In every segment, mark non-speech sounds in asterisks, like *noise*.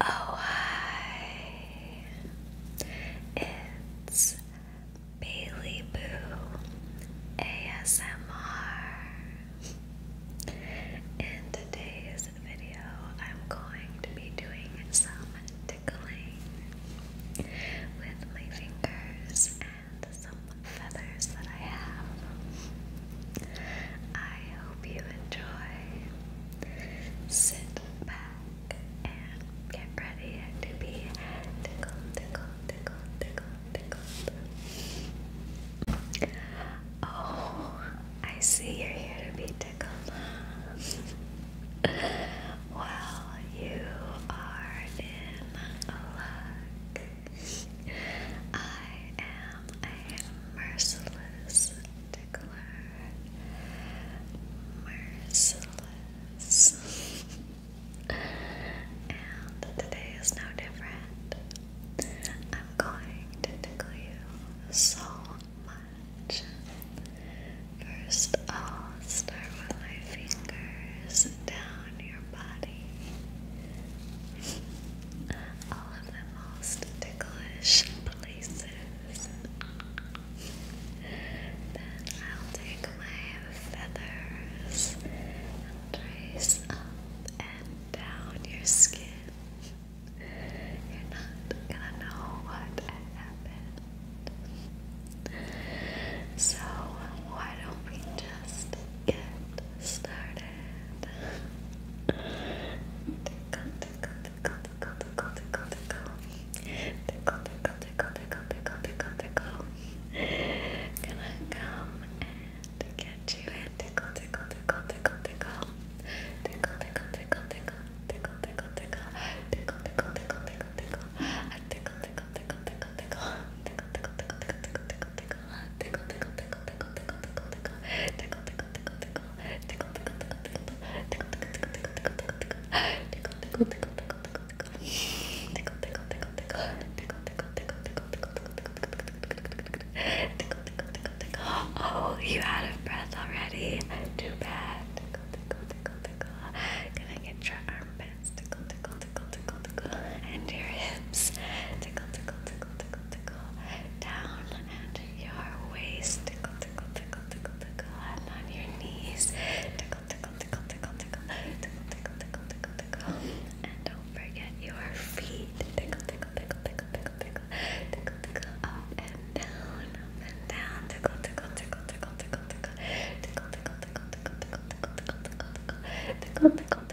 Oh, hi. It's Bailey Boo ASMR. In today's video, I'm going to be doing some tickling with my fingers and some feathers that I have. I hope you enjoy sit back and get ready to be tickled, tickled, tickled, tickled, tickled. Oh, I see you're here to be tickled. well, you are in luck. I am a merciless declare merciless. *laughs* and today is no different. I'm going to tickle you so much. First, I'll start with my fingers down your body. *laughs* all of the most ticklish places. Then I'll take my feathers and trace up and down your skin. You're not gonna know what happened. So, why don't we just get started? Gonna come and get you and tickle, tickle, tickle, tickle, tickle. Tickle, tickle, tickle, tickle, tickle, tickle, tickle. Tickle, tickle, tickle, tickle, tickle. Tickle, tickle, tickle, tickle, tickle. Tickle, tickle, tickle, tickle, tickle. Oh, you out of breath already? Too bad. Can I get your armpits? Tickle, tickle, tickle, tickle, tickle, and your hips. Tickle, tickle, tickle tickle, tickle, down and your waist, tickle, tickle, tickle, tickle, tickle, and on your knees, tickle, tickle, tickle, tickle, tickle, tickle, tickle, tickle, tickle, tickle, and don't forget your feet, tickle, tickle, tickle, tickle, tickle, tickle, tickle, tickle, and down, and down, tickle, tickle, tickle, tickle, tickle, tickle, tickle, tickle, tickle, tickle, tickle, tickle, tickle, tickle, tickle, tickle,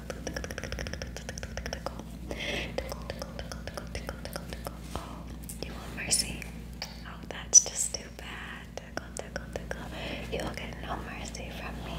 Oh, you want mercy? Oh, that's just too bad. You'll get no mercy from me.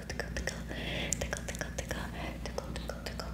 up and down, up and down, tickle, tickle, tickle,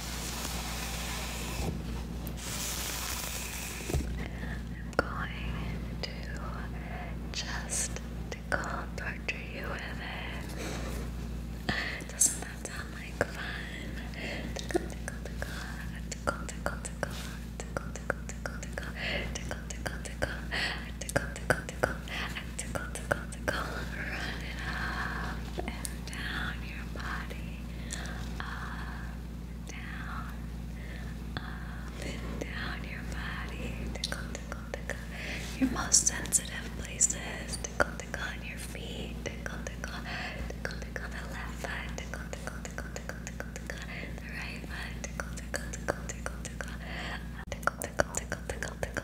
I'm going to just to torture you with it. Doesn't that sound like fun? tickle, tickle, tickle, tickle, tickle, tickle, tickle, tickle, tickle, tickle, tickle, tickle, tickle, tickle, tickle, tickle, tickle, tickle, tickle, tickle. Run it up and down your body. Up and down. Up and down your body. Tickle, tickle, tickle. Your most sensitive places. Tickle, tickle on your feet. Tickle, tickle. Tickle, tickle the left foot. Tickle, tickle, tickle, tickle, tickle, tickle. The right foot. Tickle, tickle, tickle, tickle, tickle. Tickle, tickle, tickle, tickle, tickle.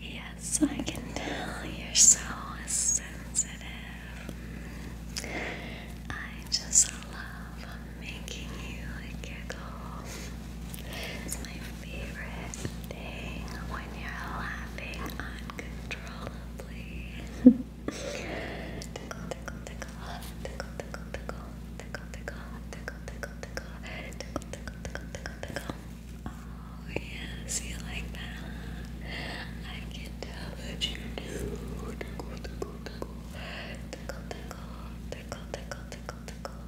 Yes, I can tell you're so sensitive. I just love making you giggle when you're laughing uncontrollably. tickle, tickle, tickle, tickle, tickle, tickle, tickle, tickle, tickle, tickle, tickle, tickle, tickle, tickle, tickle, tickle. Oh yes, you like that? I can tell that you do. Tickle, tickle, tickle, tickle, tickle, tickle, tickle, tickle, tickle.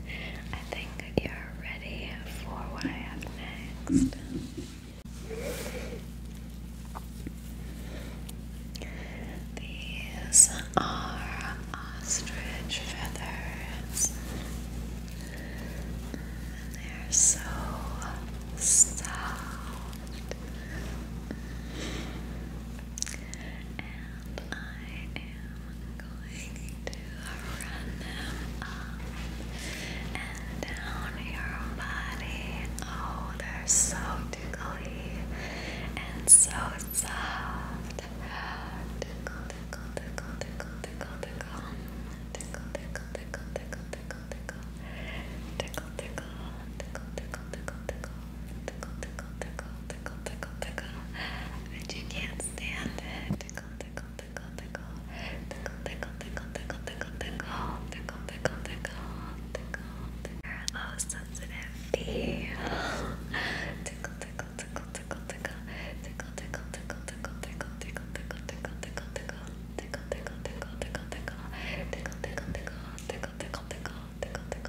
I think you're ready for what I have next. These are ostrich feathers. they're so soft. And I am going to run them up and down your body. Oh, they're so tickly and so soft. Tickle, tickle, tickle, tickle, tickle, tickle. Tickle, tickle, tickle, tickle, tickle, tickle. Tickle, tickle, tickle, tickle, tickle, tickle. Tickle, tickle, tickle tickle, tickle, tickle. But you can't stand it. Tickle, tickle, tickle, tickle. Tickle, tickle, tickle, tickle, tickle, tickle. Tickle, tickle, tickle, tickle, tickle. Oh, sensitive bee. Tickle, tickle, tickle, tickle, tickle. Tickle, tickle, tickle, tickle, tickle, tickle, tickle, tickle, tickle, tickle. Tickle, tickle, tickle, tickle, tickle. Tickle, tickle, tickle, tickle, tickle, tickle, tickle, tickle.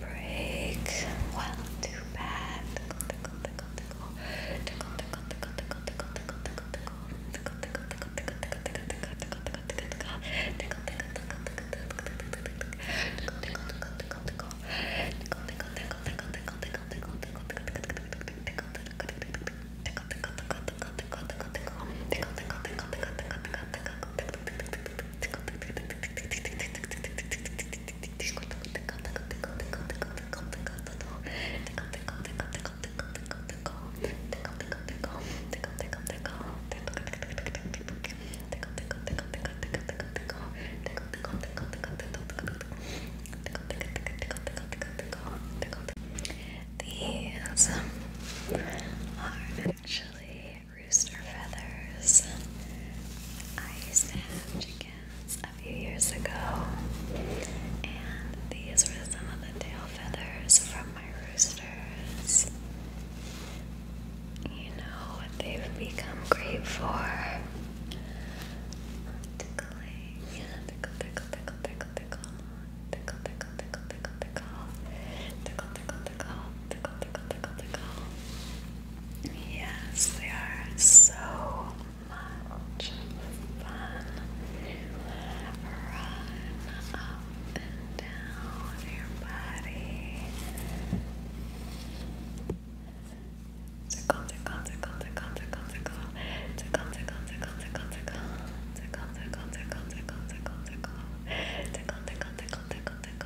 break. Well, too bad. *laughs* These are actually rooster feathers. I used to have chickens a few years ago, and these were some of the tail feathers from my roosters. You know what they've become great for? Tickling. Tickle, tickle, tickle, tickle, tickle. Tickle, tickle, tickle, tickle, tickle. Tickle, tickle, Yes, they are so much fun. Run up and down your body. tickle, tickle, tickle, tickle. Tickle, tickle, tickle, tickle, tickle. Tickle, tickle, tickle, tickle, tickle, tickle. Tickle, tickle, tickle, tickle, tickle.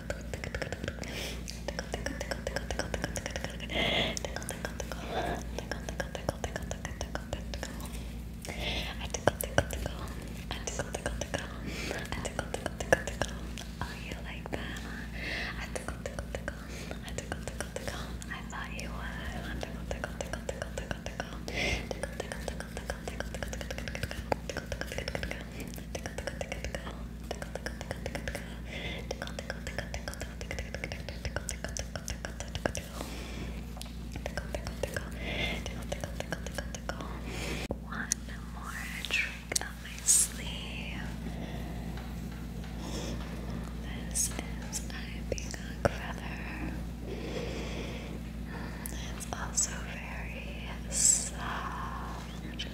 you like that? I tickle, tickle, tickle. I tickle, tickle, tickle. I thought you would. I tickle, tickle, tickle, tickle, tickle, tickle. Tickle, tickle, tickle, tickle, tickle, tickle, tickle, tickle, tickle, tickle, tickle, tickle, tickle, tickle. One more trick up my sleeve. This is a peacock feather. It's also very soft. Just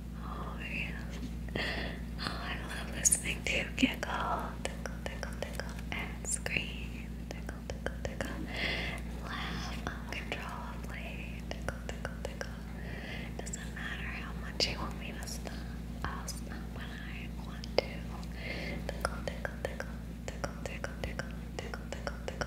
Oh yeah. Oh, I love listening to giggle, tickle, tickle, tickle, and scream, tickle, tickle, tickle, laugh uncontrollably, tickle, tickle, tickle. Doesn't matter how much you want me to stop, I'll stop when I want to. Tickle, tickle, tickle, tickle, tickle, tickle, tickle, tickle, tickle.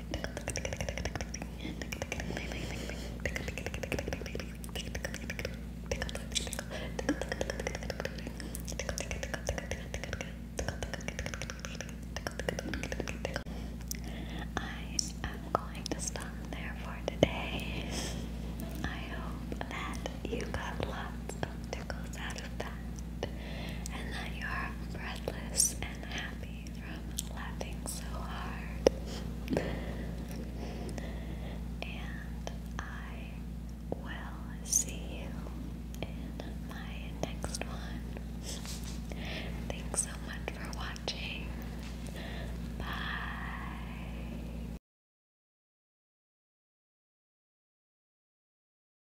I am going to stop there for today. I hope that you got lots of tickles out of that and that you are breathless and happy from laughing so hard. and I will see you in my next one. Thanks so much for watching. Bye.